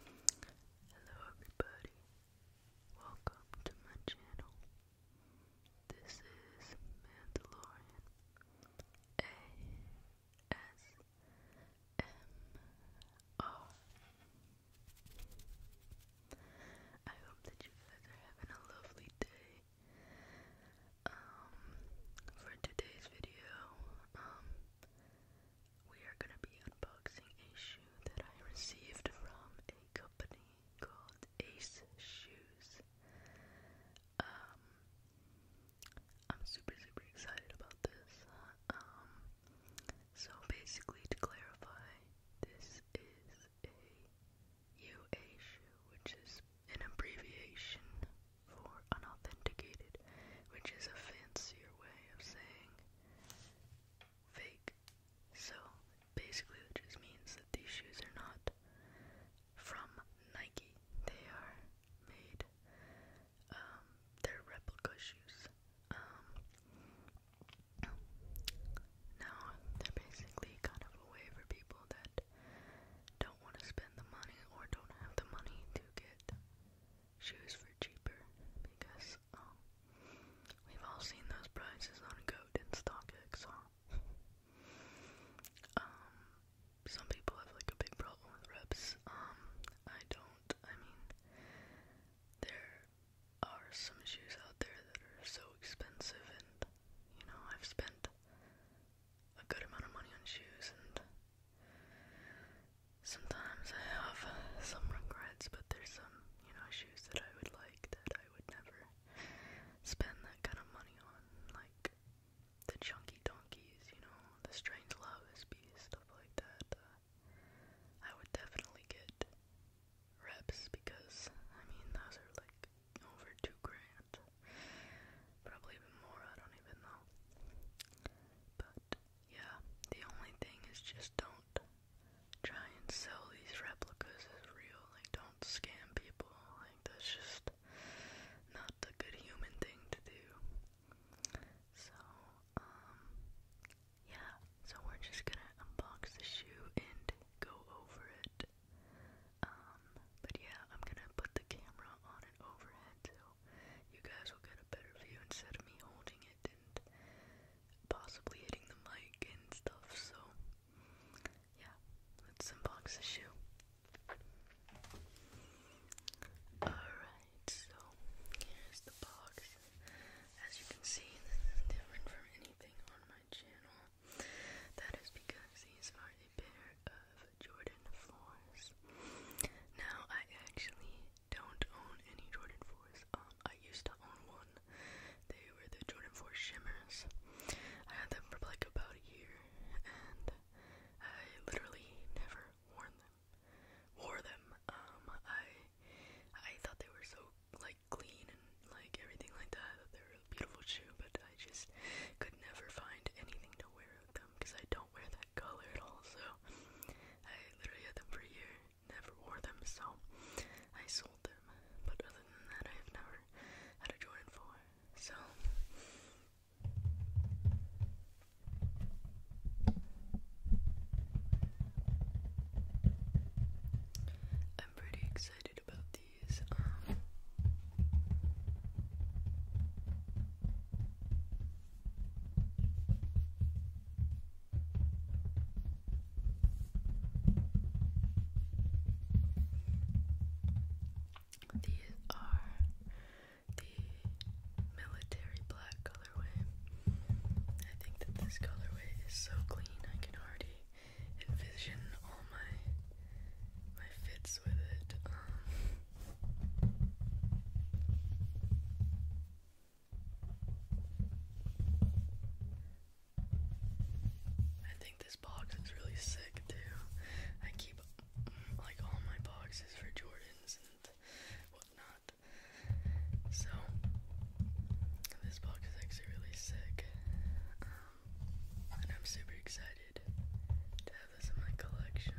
Hello everybody, welcome to my channel. This is Mandalorian ASMR. hope that you guys are having a lovely day. Um, for today's video, um, we are going to be unboxing a shoe that I received from a company called Ace Shoes. Um, I'm super, super excited about this. Um, so basically, to clarify, this is a UA shoe, which is an abbreviation for unauthenticated, which is a fancier way of saying fake. So basically, it just means that these shoes are not from Nike. They are made, um, they're replica shoes. Um, now they're basically kind of a way for people that don't want to spend the money or don't have the money to get shoes for cheaper because um we've all seen those prices on Goody and StockX, huh? um some people have like a big problem with reps. Um I don't. I mean there are some shoes out there that are so expensive and you know I've spent a good amount of money on shoes and Sometimes I have some regrets, but there's some, you know, shoes that I would like that I would never spend that kind of money on, like the chunky donkeys, you know, the strange love stuff like that. Uh, I would definitely get reps because I mean those are like over two grand, probably even more. I don't even know, but yeah, the only thing is just don't try and sell these replicas as real. Like, don't scam people. Like, that's just not a good human thing to do. So, um, yeah. So we're just gonna unbox the shoe and go over it. Um, but yeah, I'm gonna put the camera on an overhead so you guys will get a better view instead of me holding it and possibly hitting the mic and stuff. So, yeah, let's unbox the shoe. Alright, so here's the box. As you can see, this is different from anything on my channel. That is because these are a pair of Jordan 4s. Now, I actually don't own any Jordan 4s. Um, I used to own one. They were the Jordan 4 Shimmers. I had them for like about a year, and I literally never wore them. Wore them. Um, I I thought they were so like clean and like everything like that. they were a beautiful shoe, but I just could never find anything to wear with them because I don't wear them color at all, so I literally had them for a year, never wore them, so I sold them. But other than that, I have never had a Jordan 4, so. I'm pretty excited about these. Um, these are the military black colorway. I think that this colorway is so clean I can already envision all my my fits with it. Um, I think this box is really sick too. I keep like all my boxes for Jordans and whatnot. So this box is actually really sick. and I'm super excited to have this in my collection.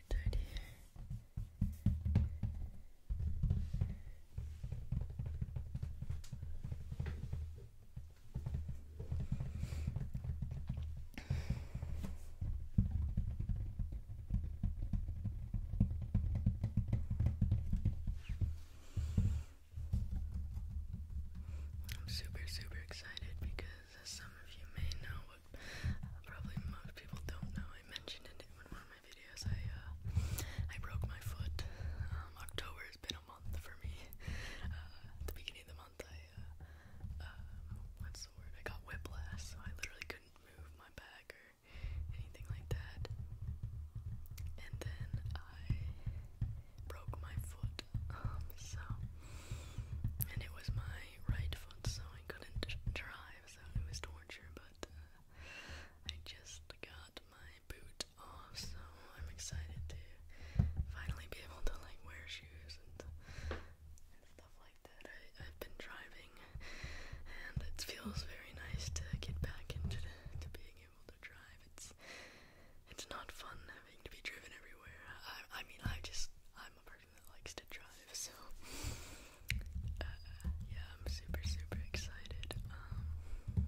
I'm super, super excited because, as some of you may know, probably most people don't know. I mentioned it in one of my videos. I uh, I broke my foot. Um, October has been a month for me. at uh, the beginning of the month, I what's uh, the word? I got whiplash, so I literally couldn't move my back or anything like that. And then I broke my foot. Um, so and it was my right foot, so I couldn't drive because I was torture, but uh, I just got my boot off, so I'm excited to finally be able to like wear shoes and, stuff like that. I, I've been driving, and it feels very nice to get back into the, to being able to drive. It's it's not fun having to be driven everywhere. I I mean I just I'm a person likes to drive, so uh, yeah, I'm super, super excited um,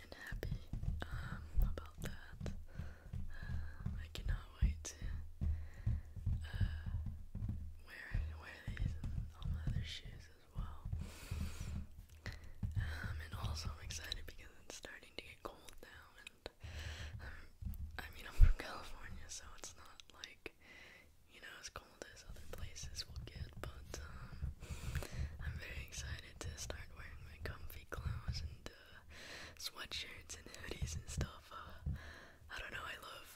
and happy um, about that. Uh, I cannot wait to uh, wear, wear these all my other shoes as well. Um, and also I'm excited because it's starting to get cold now, I'm, um, mean, I'm from California, so it's not like, you know, as cold as other places will get, but, um, I'm very excited to start wearing my comfy clothes and, uh, sweatshirts and hoodies and stuff, uh, I don't know, I love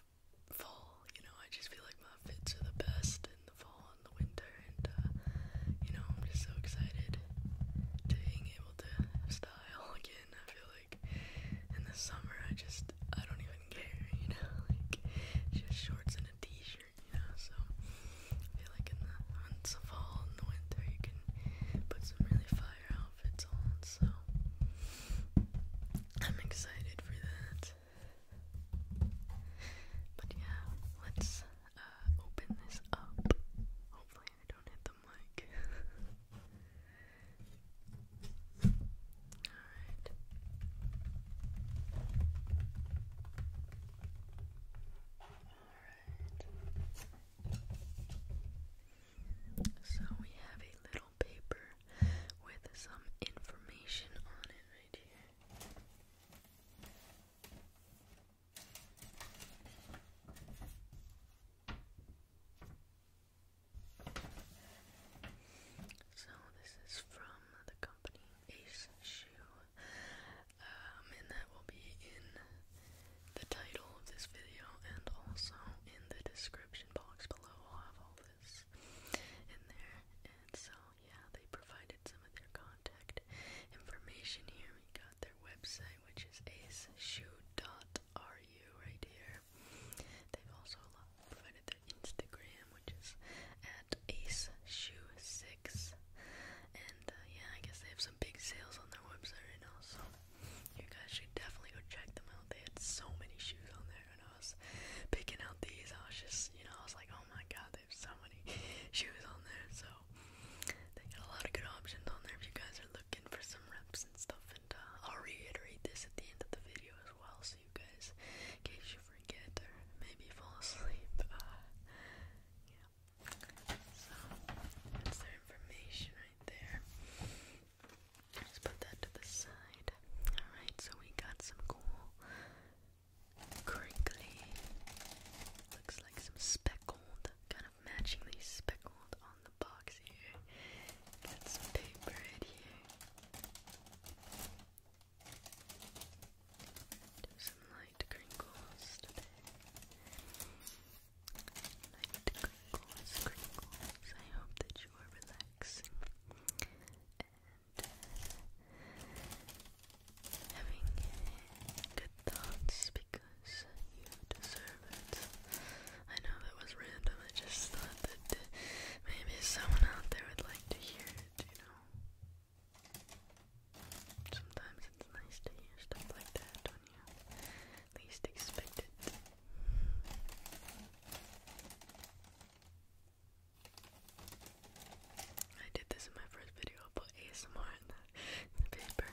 fall, you know, I just feel like my fits are the best in the fall and the winter, and, uh, you know, I'm just so excited to being able to style again, I feel like in the summer I just I don't even care, you know, like just shorts and a t-shirt, you know, so I feel like in the months of fall and the winter you can put some really fire outfits on, so I'm excited for that. But yeah, let's uh, open this up. Hopefully, don't hit the mic. Alright. Alright. So we have a little paper with some information on it right here. So this is from the company Ace Shoe, um, and that will be in the title of this video and also in the description box below. I'll have all this in there, and so yeah, they provided some of their contact information here. We got their website, which is Ace Shoe dot ru right here. They've also provided their Instagram, which is at aceshoe6. And uh, yeah, I guess they have some big sales on their website right now, so you guys should definitely go check them out. They had so many shoes on there, and I was picking out these. I was just, you know, I was like, oh my god, they have so many shoes on there. So they got a lot of good options on there if you guys are looking for some reps and stuff. Uh, I'll reiterate this at the end of the video as well, so you guys, in case you forget or maybe fall asleep, uh, yeah. So, that's their information right there. let put that to the side. Alright, so we got some cool crinkly, looks like some speckled, kind of matchingly speckled on box here. Got some paper in here. some light crinkles today. Light crinkles, crinkles. I hope that you are relaxing and uh, having good thoughts because you deserve it. I know that was random. I just thought that maybe someone out there would like to hear it, you know. Sometimes it's nice to hear stuff like that when you least expect I did this in my first video about ASMR in the paper.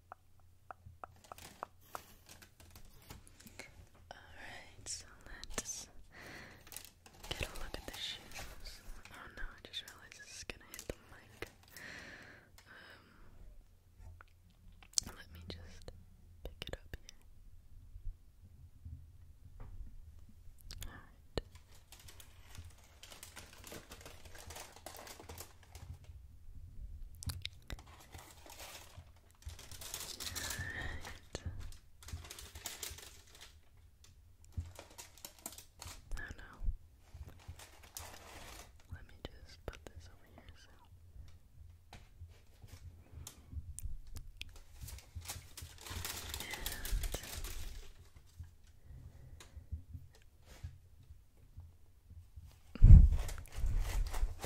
Alright, so let's get a look at the shoes. Oh no, I just realized this is gonna hit the mic. Um, let me just pick it up here. Alright. Right. Oh no. Let me just put this over here so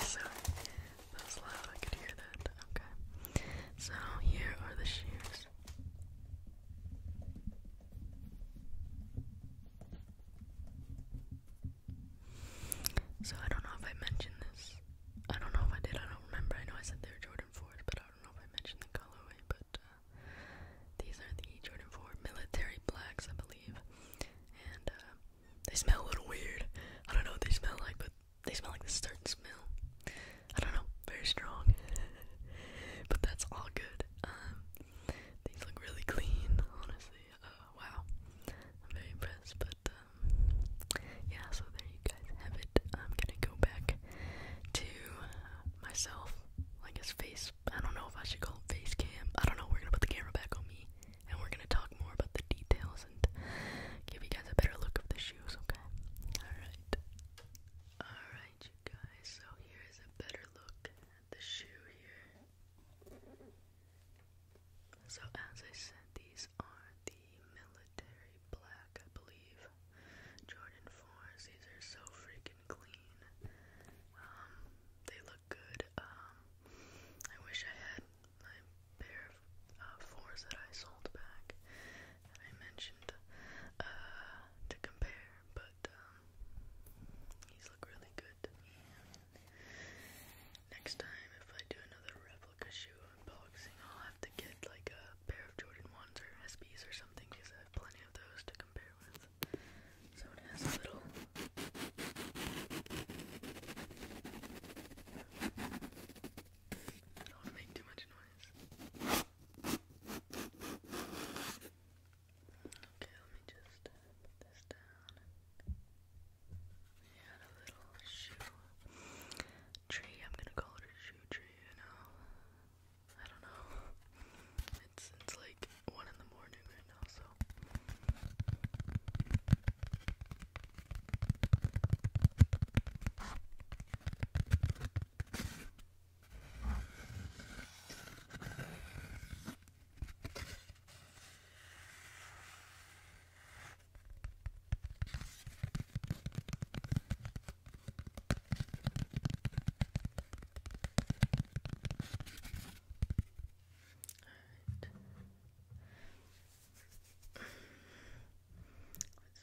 so, that loud, I could hear that. Okay. So, here are the shoes. So, I don't know if I mentioned this. I don't know if I did, I don't remember. I know I said they were Jordan 4s, but I don't know if I mentioned the colorway, but these are the Jordan 4 military blacks, I believe. And uh, they smell a little weird. I don't know what they smell like, but they smell like the certain smell. I don't know, very strong. but that's all good. Um, these look really clean, honestly. Uh, wow, I'm very impressed. But um, yeah, so there you guys have it. I'm gonna go back to myself, like his face I don't know if I should call it face cam. I don't know. We're gonna put the camera back on me, and we're gonna talk more about the details and give you guys a better look of the shoes. Okay. All right. All right, you guys. So here is a better look at the shoe here. So as I said, these are the military black, I believe. Jordan fours. These are so freaking thick and clean. Um, they look good. Um, I wish I had my pair of uh, fours that I sold back that I mentioned uh, to compare, but um, these look really good to me. Next time, if I do another replica shoe unboxing, I'll have to get like a pair of Jordan 1s or SBs or something because I have plenty of those to compare with. So it has a little don't make too much noise. Okay, let me just put this down. We had a little shoe tree. I'm gonna call it a shoe tree, you know. I don't know. It's it's like one in the morning right now, Alright.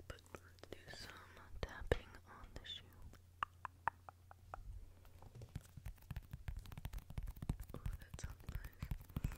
Let's do some tapping on the shoe. Oh, that sounds nice. Okay.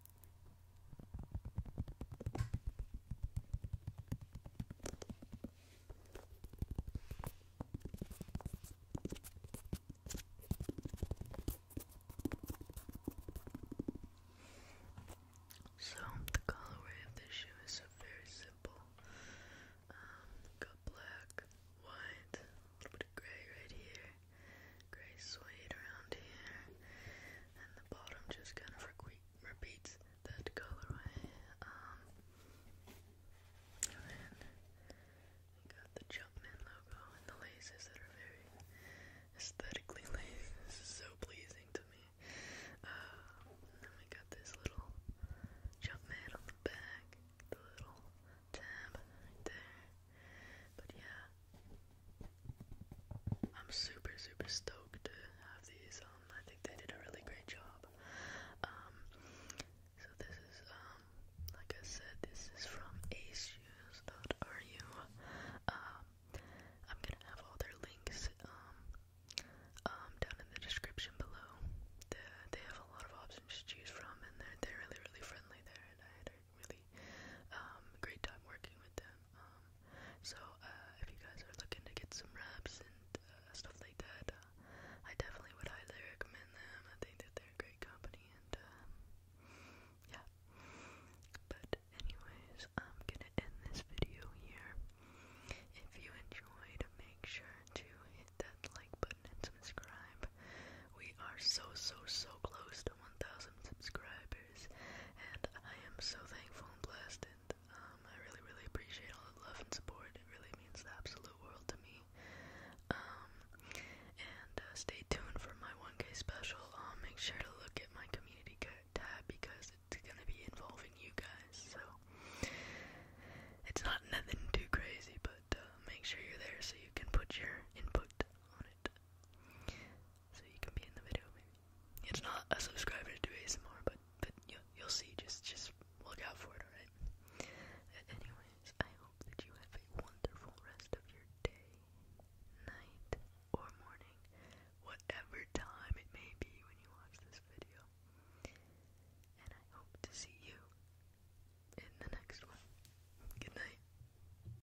So, the colorway of this shoe is so very simple. Um, got black, white, a little bit of gray right here, gray suede around here, and the bottom just kind of repeats that colorway. Um, and got the Jumpman logo and the laces that are very aesthetically lazy. so pleasing to me. Uh, then we got this little Jumpman on the back, the little tab right there. But yeah, I'm super, super stoked to have these. Um, I think they did a really great job. Um, so this is, um, like I said, this is from aceshoes.ru. Um, I'm gonna have all their links, um, um, down in the description below. They're, they have a lot of options to choose from, and they're, they're really, really friendly there, and I, I really um, great time working with them. Um, so uh, if you guys are looking to get some reps and uh, stuff like that, uh, I definitely would highly recommend them. I think that they're a great company and um, yeah. But anyways, I'm gonna end this video here. If you enjoyed, make sure to hit that like button and subscribe. We are so so so close to 1,000 subscribers, and I am so thankful and blessed, and um, I really, really appreciate all the love and support. It really means the absolute world to me. Um, and uh, stay tuned for my 1K special. make sure to look at my community tab because it's gonna be involving you guys. So it's not nothing too crazy, but uh, make sure you're there so you can put your input on it so you can be in the video It's not a subscriber to ASMR, but but you you'll see. Just just look out for it, alright? Uh, anyways, I hope that you have a wonderful rest of your day, night, or morning, whatever time it may be when you watch this video. And I hope to see you in the next one. Good night.